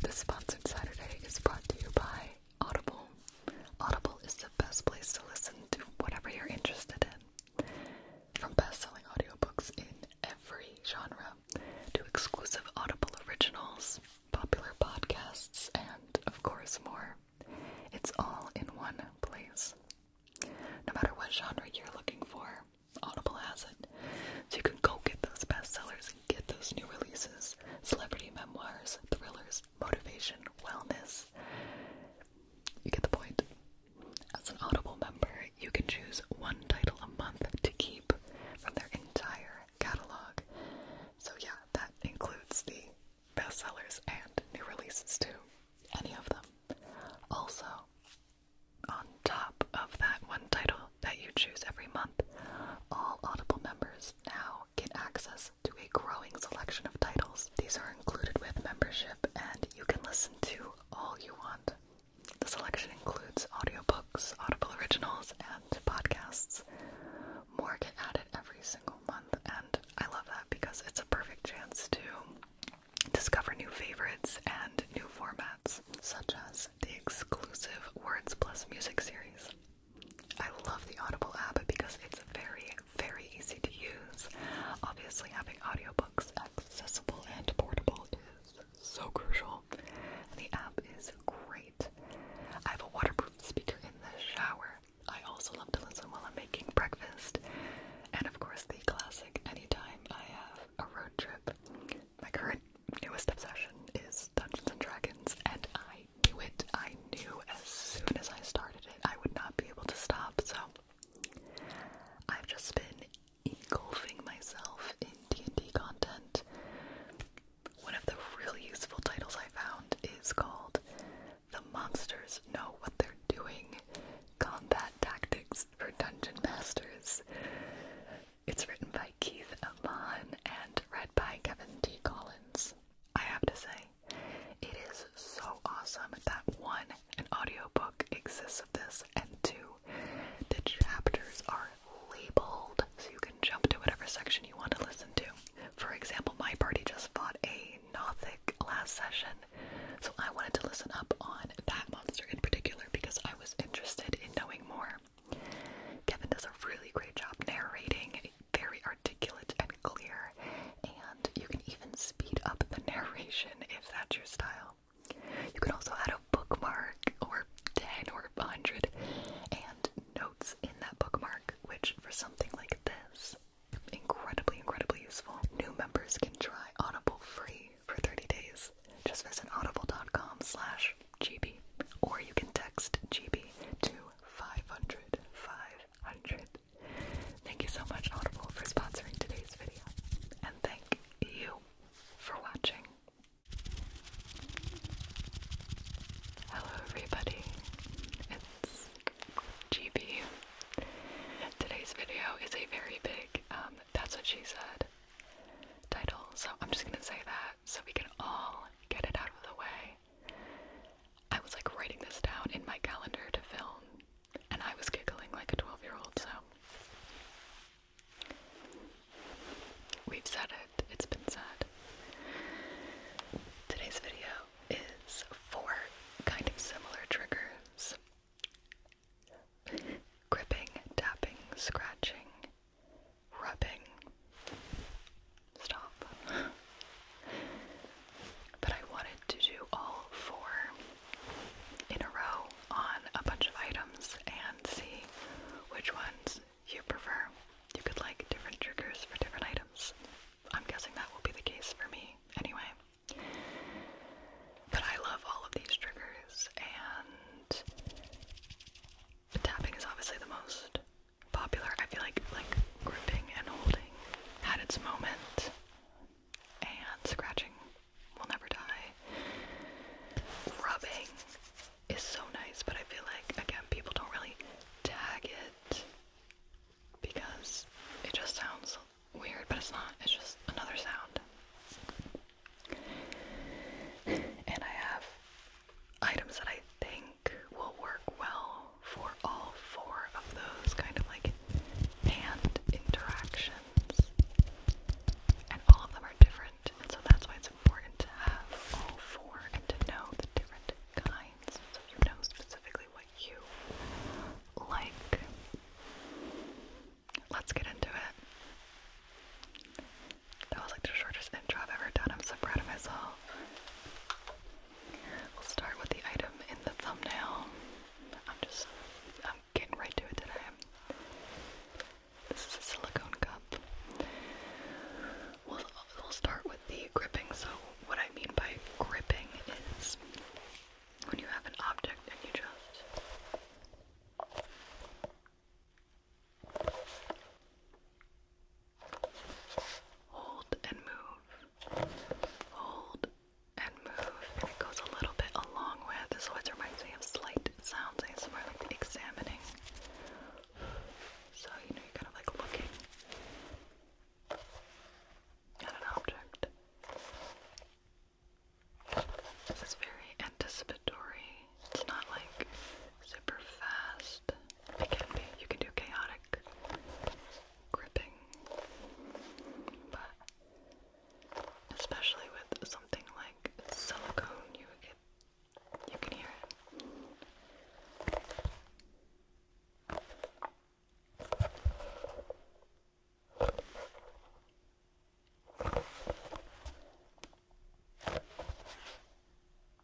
The Sponsored Saturday is brought to you by Audible. Audible is the best place to listen to whatever you're interested in. From best-selling audiobooks in every genre to exclusive Audible originals, popular podcasts, and of course more. It's all in one place. No matter what genre you're looking for, Audible has it. So you can go get those bestsellers Get those new releases celebrity memoirs, thrillers, motivation, wellness. You get the point. As an Audible member, you can choose one title a month to keep from their entire catalog. So, yeah, that includes the bestsellers and new releases, too. Any of them. Also, on top of that one title that you choose every month, all Audible members now get access to a growing selection of titles. These are included with membership, and you can listen to all you want. The selection includes audiobooks, Audible Originals, and podcasts. More get added every single month, and I love that because it's a perfect chance to discover new favorites and new formats, such as the exclusive Words Plus Music series. I love the Audible app because it's very, very easy to use. Obviously, having audiobooks accessible and portable is so crucial. the app is great. I have a waterproof speaker in the shower. I also love to listen while I'm making breakfast. And of course, the classic anytime I have a road trip my current newest obsession is Dungeons and Dragons, and I knew it. I knew as soon as I started it, I would not be able to stop. So I've just been engulfing myself in D&D content. One of the really useful titles I found is called "The Monsters Know What They're Doing: Combat Tactics for Dungeon Masters." It's written by Keith Amon and read by Kevin D. Collins. I have to say, it is so awesome that one, an audiobook exists of this, and two, the chapters are labeled so you can jump to whatever section you want to listen to. For example, my party just fought a Nothic last session, so I wanted to listen up on that monster in particular because I was interested in knowing more. Kevin does a really great job narrating, very articulate and clear, and you can even speed up the narration if that's your style. You can also add a bookmark or 10 or 100 and notes in that bookmark, which for something like this, incredibly, incredibly useful. New members can try Audible free for 30 days. Just visit audible.com slash GB, or you can text GB to 500 Thank you so much, Audible, for sponsoring today's video, and thank you for watching. Hello, everybody. It's GB. Today's video is a very big, um, that's what she said title, so I'm just gonna say that so we can all get it out of the way. I was like writing this down in my calendar to film, and I was giggling like a 12 year old, so. We've said it, it's been said. Today's video is for kind of similar triggers gripping, tapping, scratching, rubbing. Stop. but I wanted to do all four in a row on a bunch of items and see which ones you prefer. You could like different triggers for different items. I'm guessing that will be the case for me anyway. But I love all of these triggers and tapping is obviously the most popular. I feel like like gripping and holding had its moment, and scratching will never die. Rubbing is so nice, but I feel like again people don't really tag it because it just sounds weird, but it's not. It's just another sound. And I have items that I think will work well for all four of those kind of like hand interactions. And all of them are different, and so that's why it's important to have all four and to know the different kinds so you know specifically what you like. Let's get into it. That was like the shortest intro I've ever done. I'm so proud of myself. We'll start with the item in the thumbnail. I'm just, I'm getting right to it today. This is a silicone cup. We'll, start with the gripping. So, what I mean by gripping is when you have an object and you just Hold and move. Hold and move. it goes a little bit along with, this always reminds me of slight sounds ASMR, like examining. So, you know, you kind of like looking at an object. This is very anticipatory it's not like super fast. It can be. You can do chaotic gripping. But especially with something like silicone, you get you can hear it.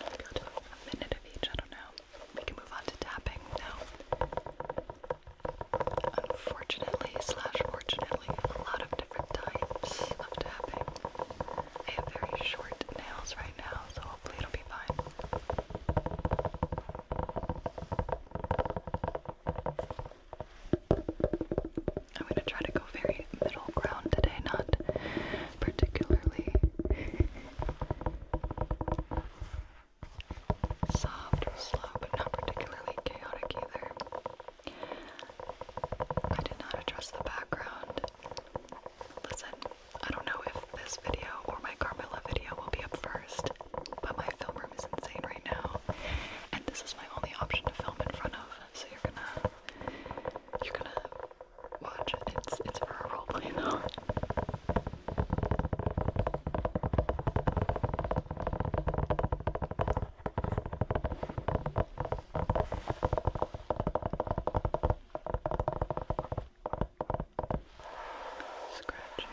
a minute of each, I don't know. We can move on to tapping now. Unfortunately, slash fortunately, a lot of different types of tapping. I have very short nails right now, so hopefully it'll be fine. I'm gonna try to go very middle ground today, not particularly Soft and slow, but not particularly chaotic either. I did not address the background. Listen, I don't know if this video or my Carmilla video will be up first, but my film room is insane right now, and this is my only option to film in front of. So you're gonna, you're gonna watch it. It's it's for a roleplay though. Scratching.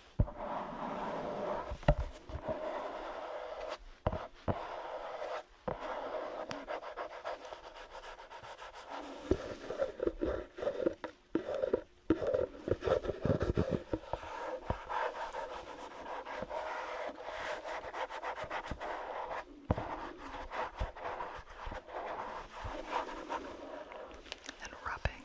and rubbing.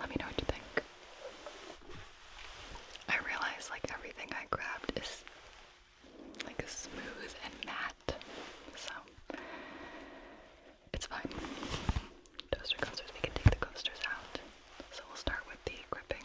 Let me know what you think. I realize like everything I grabbed is like smooth and matte, so it's fine. Toaster coasters, we can take the coasters out. So we'll start with the gripping.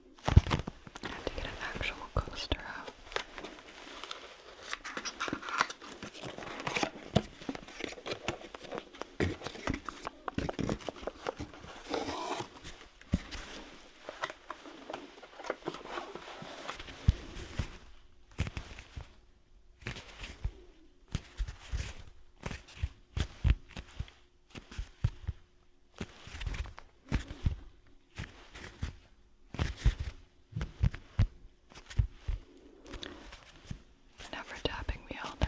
I have to get an actual coaster out. Enough for tapping, we all know.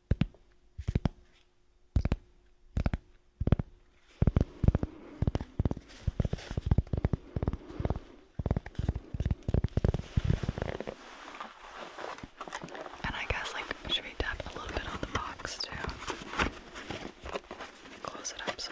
And I guess, like, should we tap a little bit on the box too? Close it up so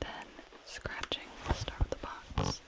Then scratching. We'll start with the box.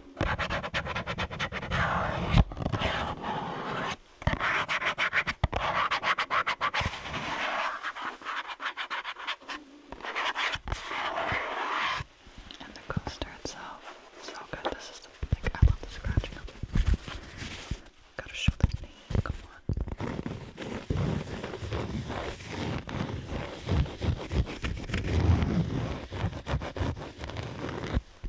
And the coaster itself so good. This is the like I love the scratching of it. Gotta show the name, come on.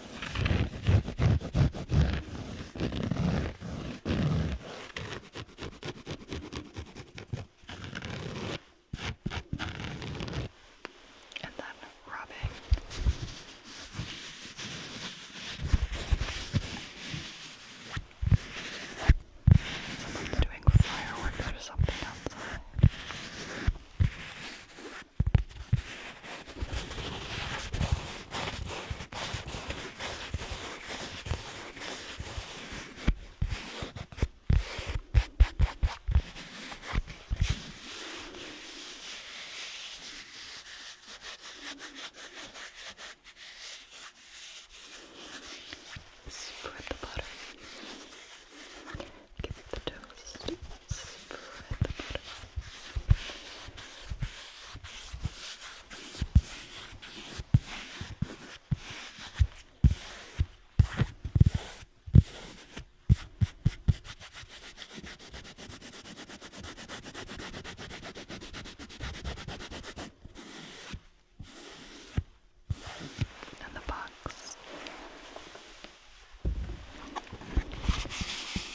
And then rubbing. Someone's doing fireworks or something outside. Spread the butter. Give it the toast. Spread the butter. And the box.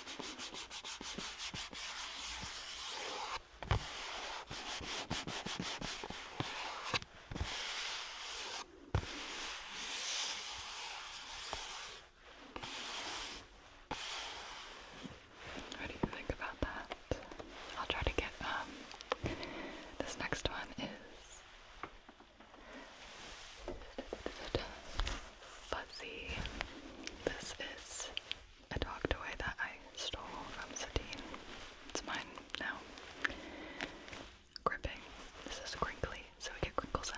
What do think about that? I'll try to get um this next one is Fuzzy. This is I talked away that I stole from Satine. It's mine now. Gripping. This is crinkly, so we get crinkle sounds.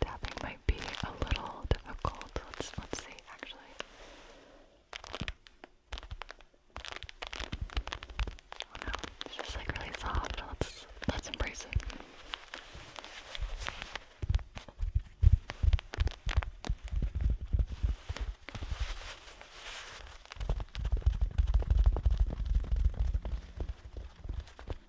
Tapping might be a little difficult. Let's let's see actually. Oh, it's just like really soft. Let's oh, let's embrace it.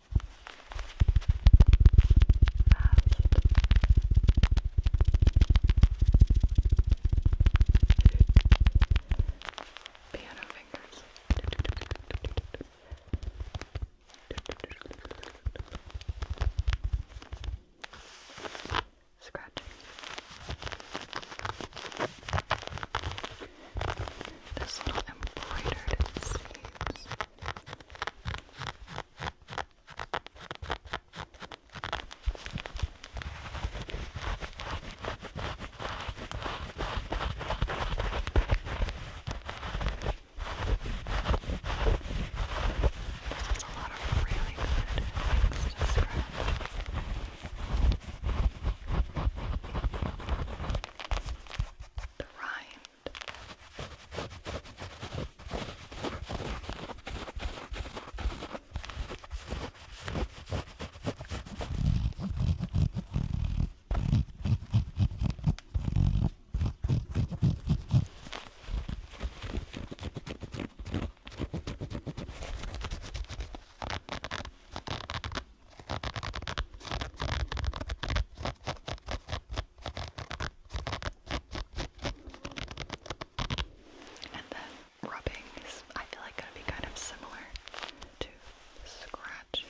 fast piano fingers Scratching this little embroidered sleeves. This a lot of really good things to scratch the rind. Now and then rubbing is, I feel like, going to be kind of similar to scratching.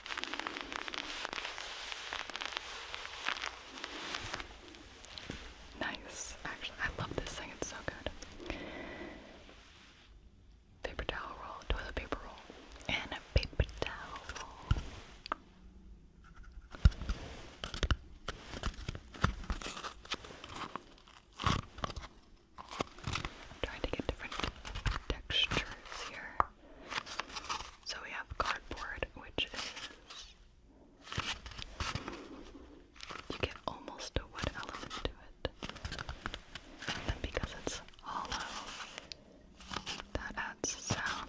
Nice. Actually, I love this thing. It's so good. Paper towel roll, toilet paper roll, and a paper towel trying to get different textures here. So we have cardboard, which is. You get almost a wood element to it. And then because it's hollow, that adds sound.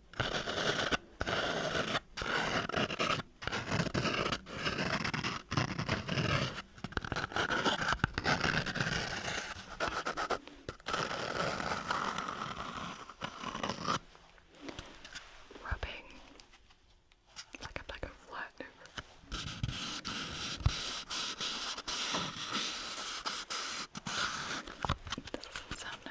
Rubbing like a bag of flat This doesn't sound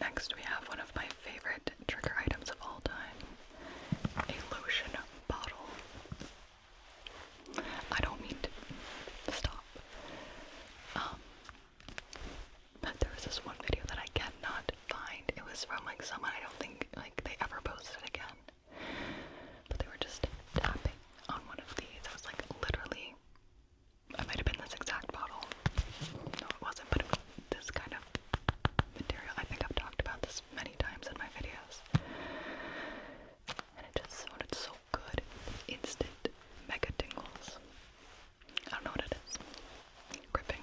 Next, we have one of my favorite trigger items of all time a lotion bottle. I don't mean stop. Um, but there was this one video that I cannot find. It was from like someone I don't think like they ever posted again. But they were just tapping on one of these. I was like literally it might have been this exact bottle. No, it wasn't, but this kind of material. I think I've talked about this many times in my videos. And it just sounded so good. Instant mega tingles. I don't know what it is. Gripping.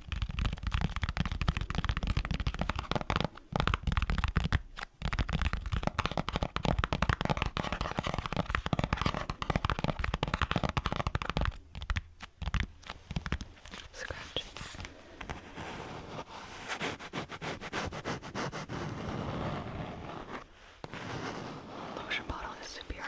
Scratch. Lotion bottle is superior.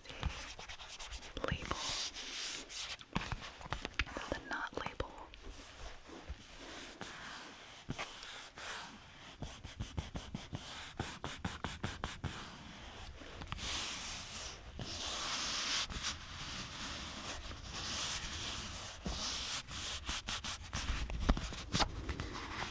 is the label. So the knot label.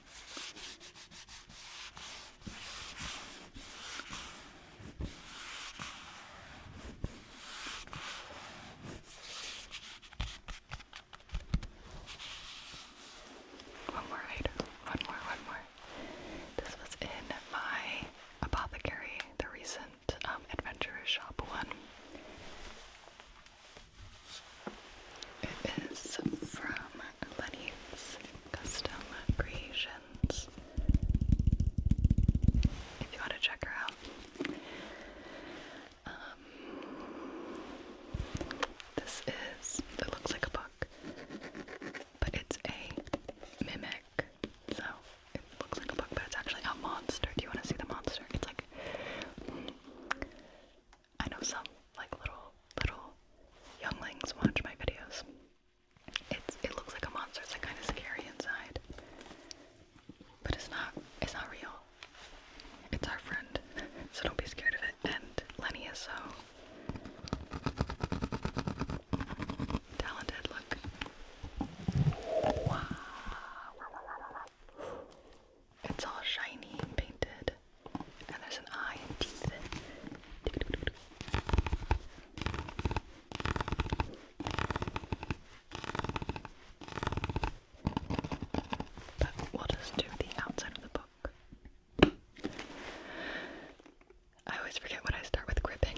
One more One more, one more. This was in my apothecary, the recent um, adventurer shop one. It is from Lenny's Custom Creations. If you want to check her out. Um, this is, it looks like a book, but it's a mimic. So it looks like a book, but it's actually a monster. Do you want to see the monster? It's like, I know some like little, little younglings watch my videos. It's it looks like a monster. It's like kind of scary inside, but it's not. It's not real. It's our friend, so don't be scared of it. And Lenny is so talented. Look. It's all shiny and painted, and there's an eye and teeth. But we'll just do the outside of the book. I always forget what I start with gripping.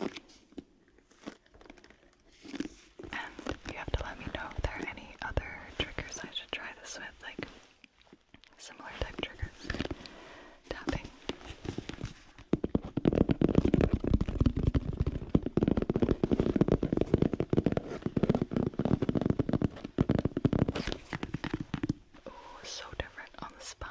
And you have to let me know if there are any other triggers I should try this with, like similar type triggers. Tapping. Oh, so different on the spine.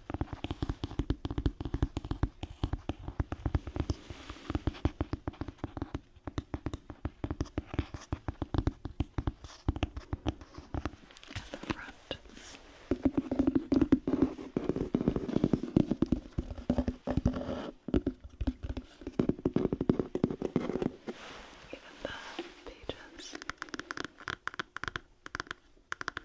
the front. Even the pages.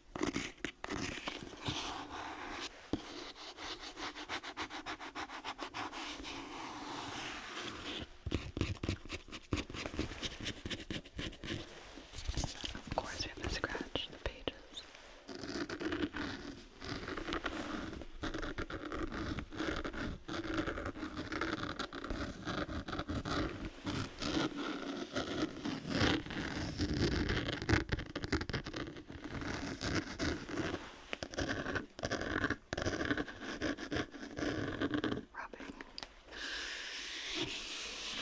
Of course, we have to scratch the pages. Rubbing. Some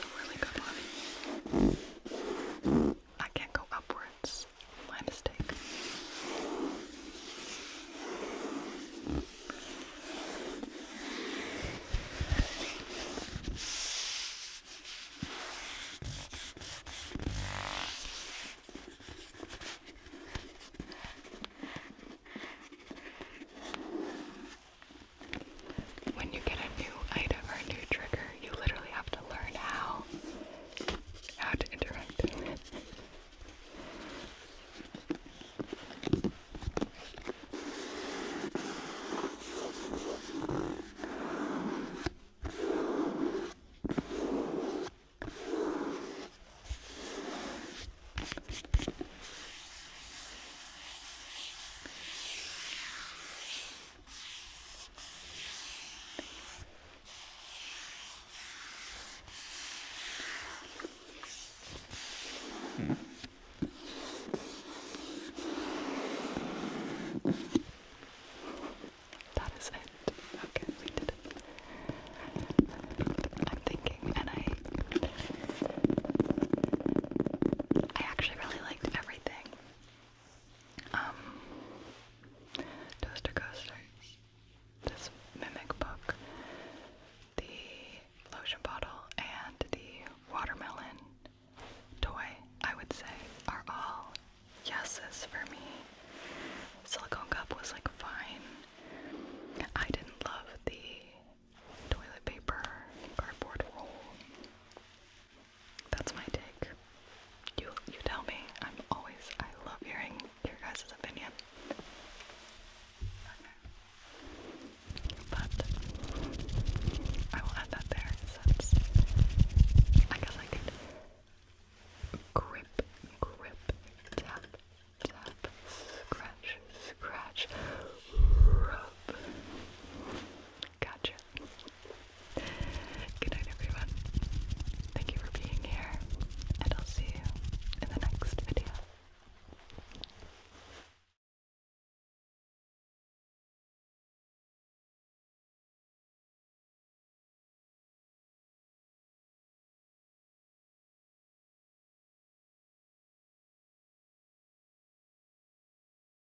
really good body. I can't go upwards. My mistake when you get a new item or a new trigger, you literally have to learn how how to interact with it. That is it. Okay, we did it. I'm thinking, and I. I actually really liked everything. Um, Toaster Coasters, this Mimic book, the lotion bottle, and the watermelon toy, I would say, are all yeses for me. Silicone cup was like fine. I didn't love the toilet paper cardboard roll. That's my take. You you tell me. I'm always I love hearing your guys' opinion. But I will add that there I guess I could grip, grip, tap, tap, scratch, scratch, rub. Gotcha. Good night, everyone. Thank you for being here, and I'll see you in the next video.